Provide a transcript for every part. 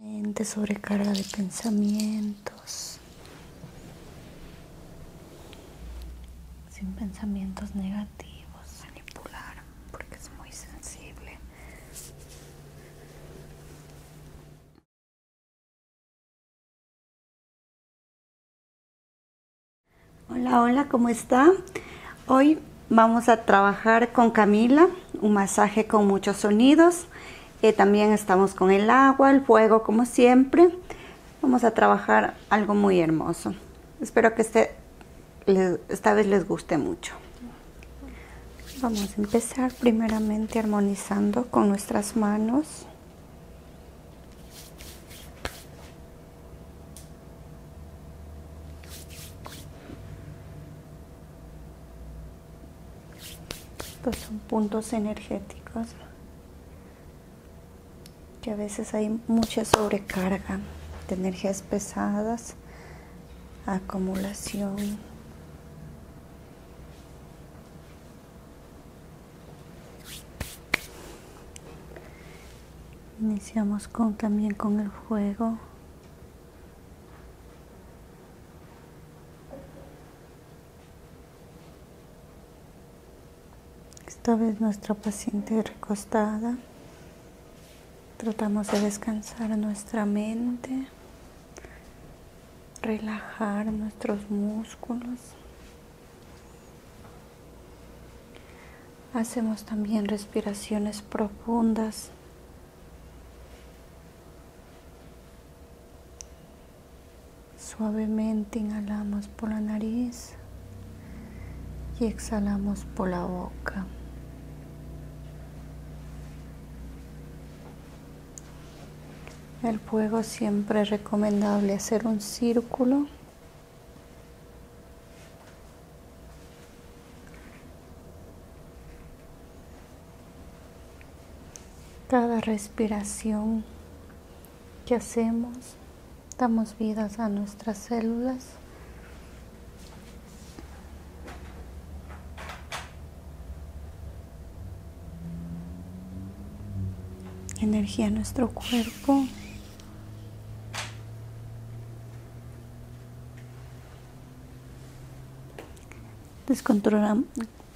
Mente sobrecarga de pensamientos, sin pensamientos negativos, manipular porque es muy sensible. Hola, hola, ¿cómo está? Hoy vamos a trabajar con Camila, un masaje con muchos sonidos eh, también estamos con el agua, el fuego, como siempre. Vamos a trabajar algo muy hermoso. Espero que este, esta vez les guste mucho. Vamos a empezar primeramente armonizando con nuestras manos. Estos son puntos energéticos que a veces hay mucha sobrecarga de energías pesadas, acumulación. Iniciamos con también con el fuego. Esta vez nuestra paciente recostada. Tratamos de descansar nuestra mente, relajar nuestros músculos. Hacemos también respiraciones profundas Suavemente inhalamos por la nariz y exhalamos por la boca. El fuego siempre es recomendable hacer un círculo cada respiración que hacemos, damos vidas a nuestras células. energía a nuestro cuerpo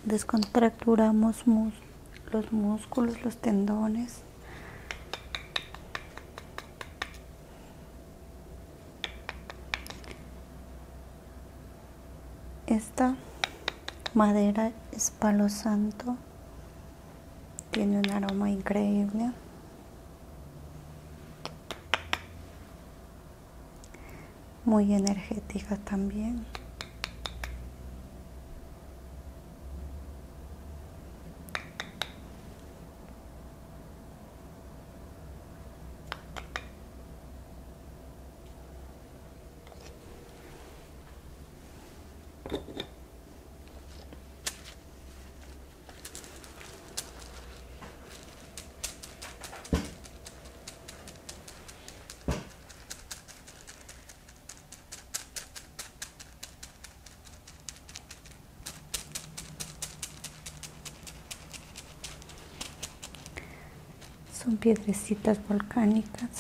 descontracturamos los músculos, los tendones. Esta madera es palo santo, tiene un aroma increíble muy energética también. Son piedrecitas volcánicas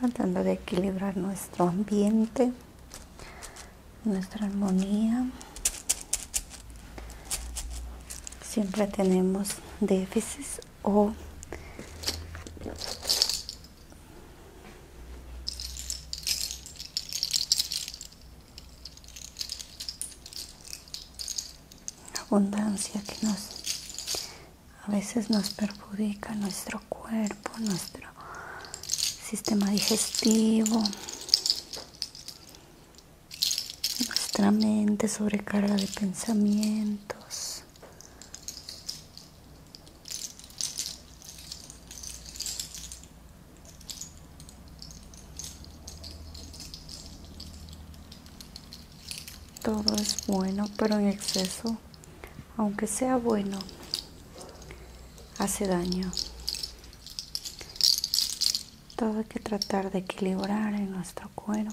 tratando de equilibrar nuestro ambiente, nuestra armonía. Siempre tenemos déficits o abundancia que nos a veces nos perjudica nuestro cuerpo, nuestro sistema digestivo, nuestra mente sobrecarga de pensamientos. Todo es bueno, pero en exceso, aunque sea bueno, hace daño. Todo hay que tratar de equilibrar en nuestro cuerpo.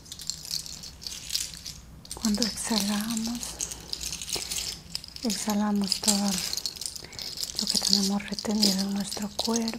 Cuando exhalamos, exhalamos todo lo que tenemos retenido en nuestro cuerpo.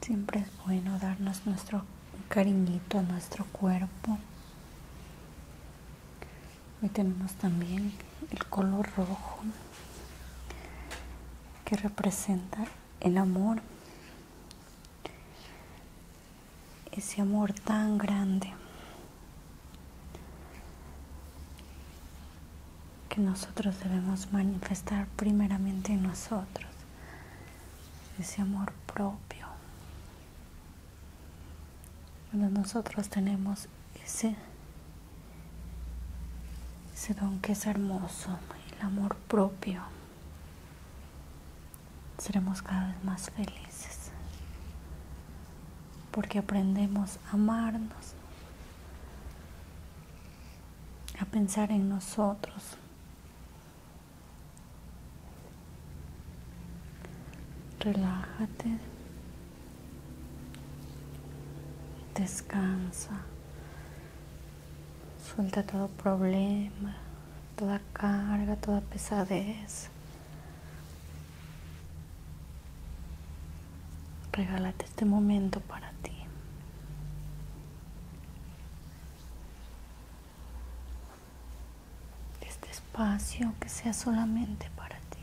Siempre es bueno darnos nuestro cariñito a nuestro cuerpo. Hoy tenemos también el color rojo que representa el amor. Ese amor tan grande que nosotros debemos manifestar primeramente en nosotros, ese amor propio. Cuando nosotros tenemos ese, ese don que es hermoso, el amor propio, seremos cada vez más felices porque aprendemos a amarnos, a pensar en nosotros. Relájate, descansa, suelta todo problema, toda carga, toda pesadez. Regálate este momento para ti. Este espacio que sea solamente para ti.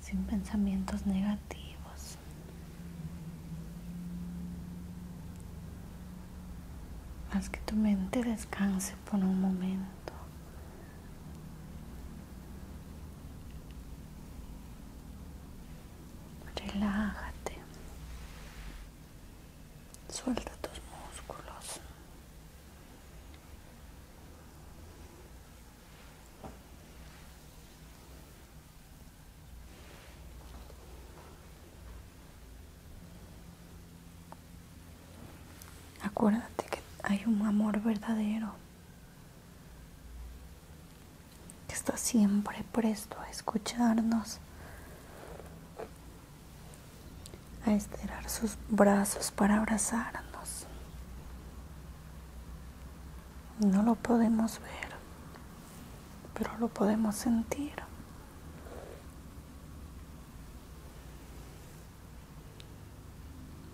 Sin pensamientos negativos. Haz que tu mente descanse por un momento. Relájate. Suelta tus músculos. Acuérdate que hay un amor verdadero que está siempre presto a escucharnos, a estirar sus brazos para abrazarnos. No lo podemos ver, pero lo podemos sentir.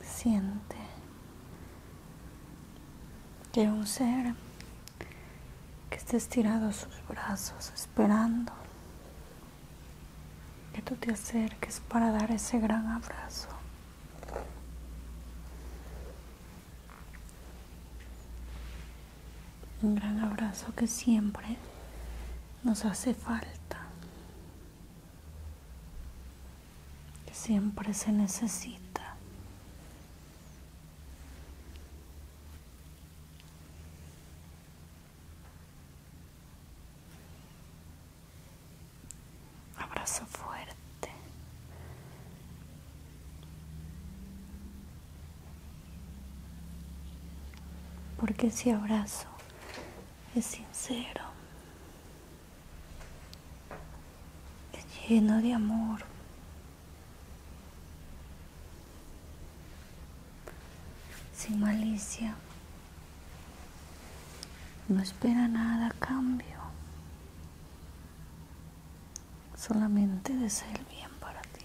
Siente que un ser que esté estirado sus brazos esperando que tú te acerques para dar ese gran abrazo. Un gran abrazo que siempre nos hace falta, que siempre se necesita. Abrazo fuerte. Porque si abrazo es sincero, es lleno de amor. sin malicia. No espera nada a cambio. Solamente desea el bien para ti.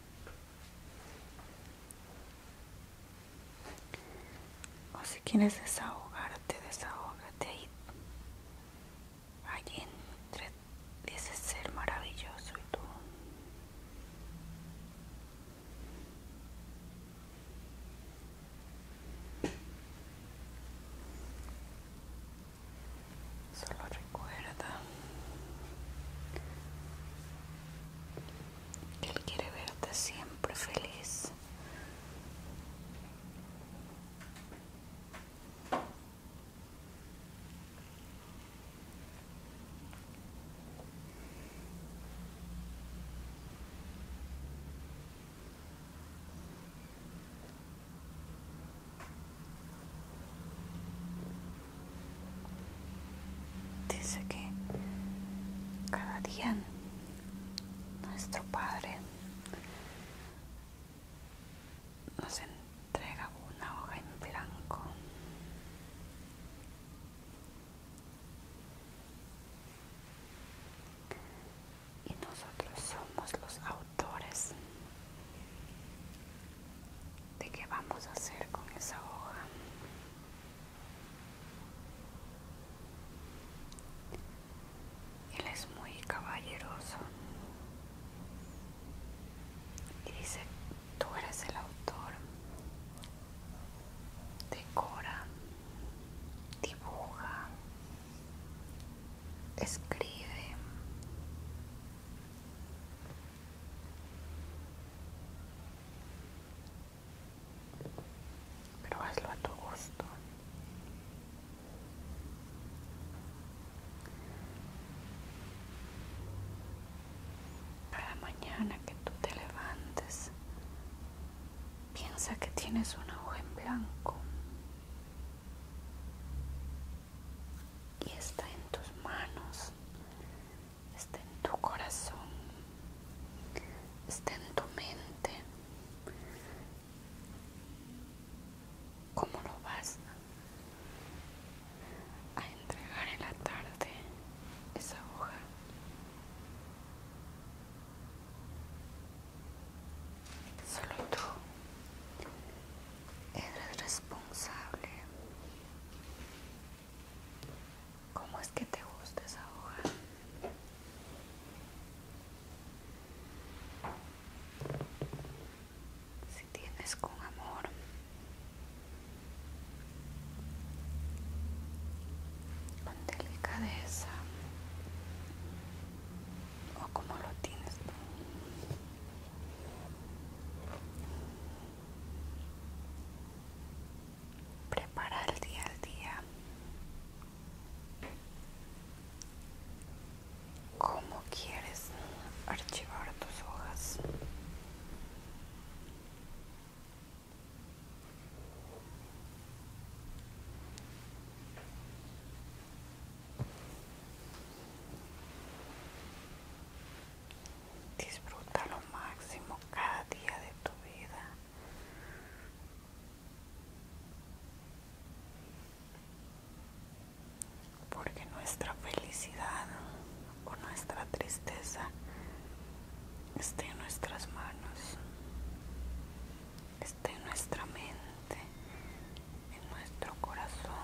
O si quieres desahogarte, desahógate ahí. Allí entre ese ser maravilloso y tú. Solo recuerda que Él quiere verte siempre feliz. Dice que cada día nuestro Padre nos entrega una hoja en blanco. Y nosotros somos los autores de qué vamos a hacer con esa hoja. Él es muy caballeroso y dice, tú eres el autor, decora, dibuja, escribe. Pero hazlo a tu gusto. Cada mañana que tú te levantes, piensa que tienes un hoja en blanco y está en tus manos, está en tu corazón, está en tu mente. ¿Cómo lo vas a entregar en la tarde esa hoja? Solo tú eres responsable ¿Cómo es que te gusta esa hoja? Si tienes con amor con delicadeza o como lo tienes tú Prepara el día al día. ¿Cómo quieres archivar tus hojas? Disfruta lo máximo cada día de tu vida. Porque nuestra felicidad o nuestra tristeza está en nuestras manos, está en nuestra mente, en nuestro corazón.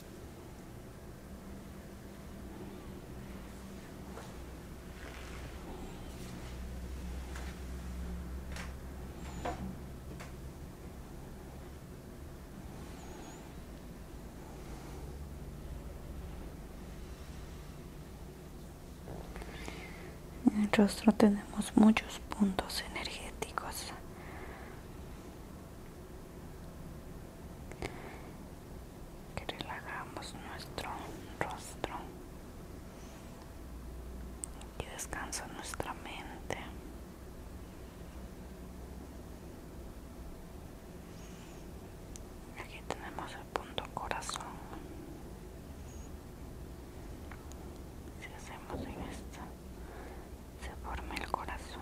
En el rostro tenemos muchos puntos energéticos que relajamos nuestro rostro y descansa nuestra mente aquí tenemos el punto corazón si hacemos en esto se forma el corazón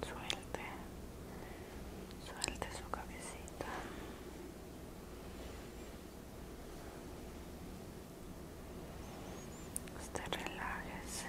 suelte suelte su cabecita usted relájese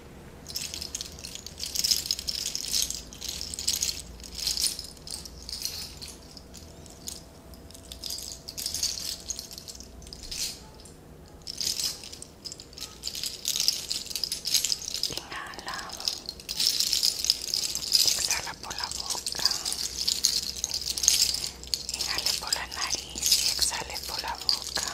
Inhala, exhala por la boca, inhala por la nariz y exhala por la boca.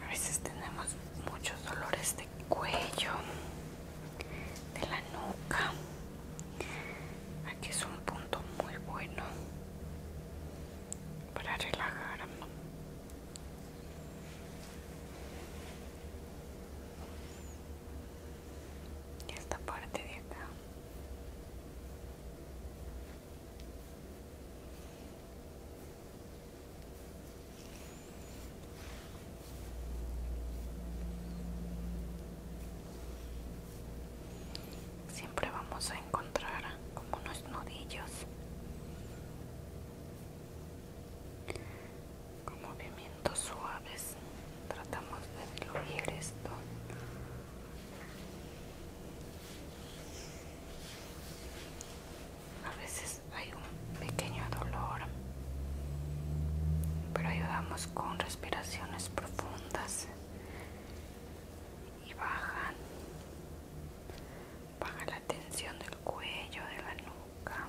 A veces tenemos muchos dolores de cuello, de la nuca. Aquí es un punto muy bueno para relajar esta parte de acá siempre vamos a encontrar como unos nudillos con movimientos suaves tratamos de diluir esto a veces hay un pequeño dolor pero ayudamos con respiraciones profundas y bajan baja la tensión del cuello de la nuca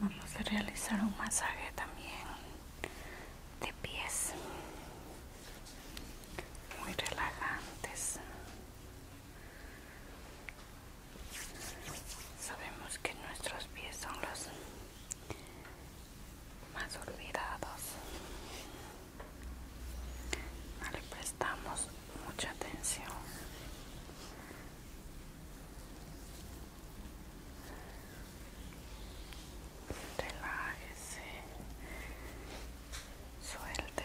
Vamos a realizar un masaje también de pies muy relajantes. Sabemos que nuestros pies son los más olvidados. No le prestamos mucha atención. Relájese, suelte.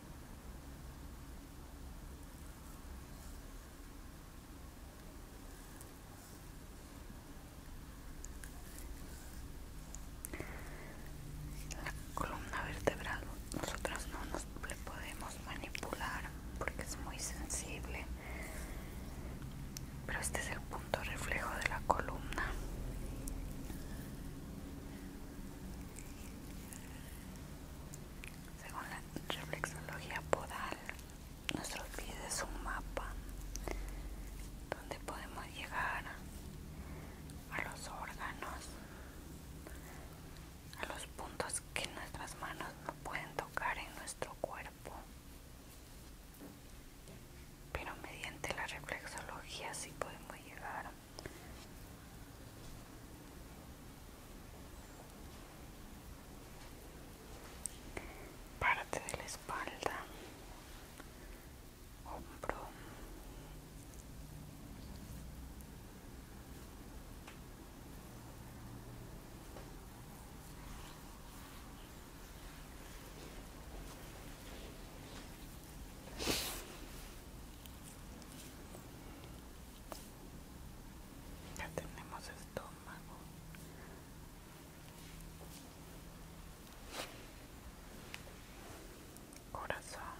La columna vertebral nosotros no nos le podemos manipular porque es muy sensible. Pero este es el punto reflejo de la columna. Según la reflexología podal, nuestros pies es un mapa donde podemos llegar a los órganos, a los puntos que nuestras manos no pueden tocar en nuestro cuerpo. Pero mediante la reflexología sí podemos llegar parte de la espalda, hombro. Ya tenemos estómago. Corazón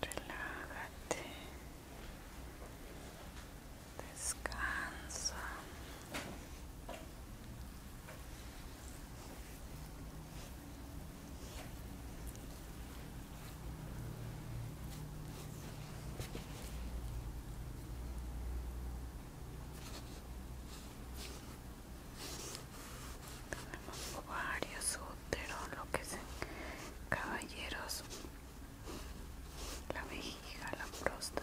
relájate, descansa. Tenemos varios úteros, lo que es caballeros la vejiga, la próstata.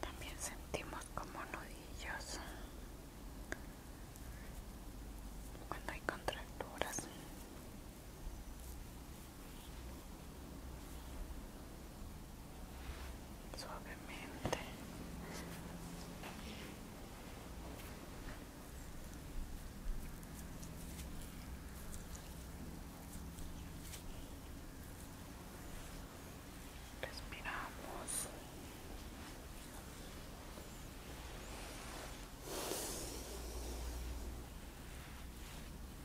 También sentimos como nudillos cuando hay contracturas suavemente respiramos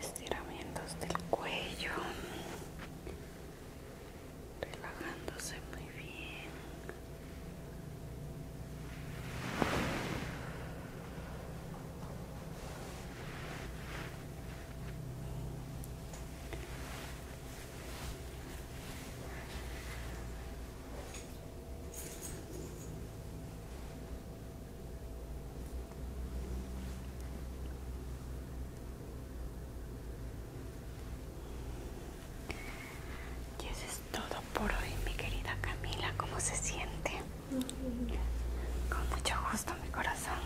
estiramientos del cuello relajándose muy bien y eso es todo por hoy, mi querida Camila. ¿Cómo se siente? Con mucho gusto, mi corazón.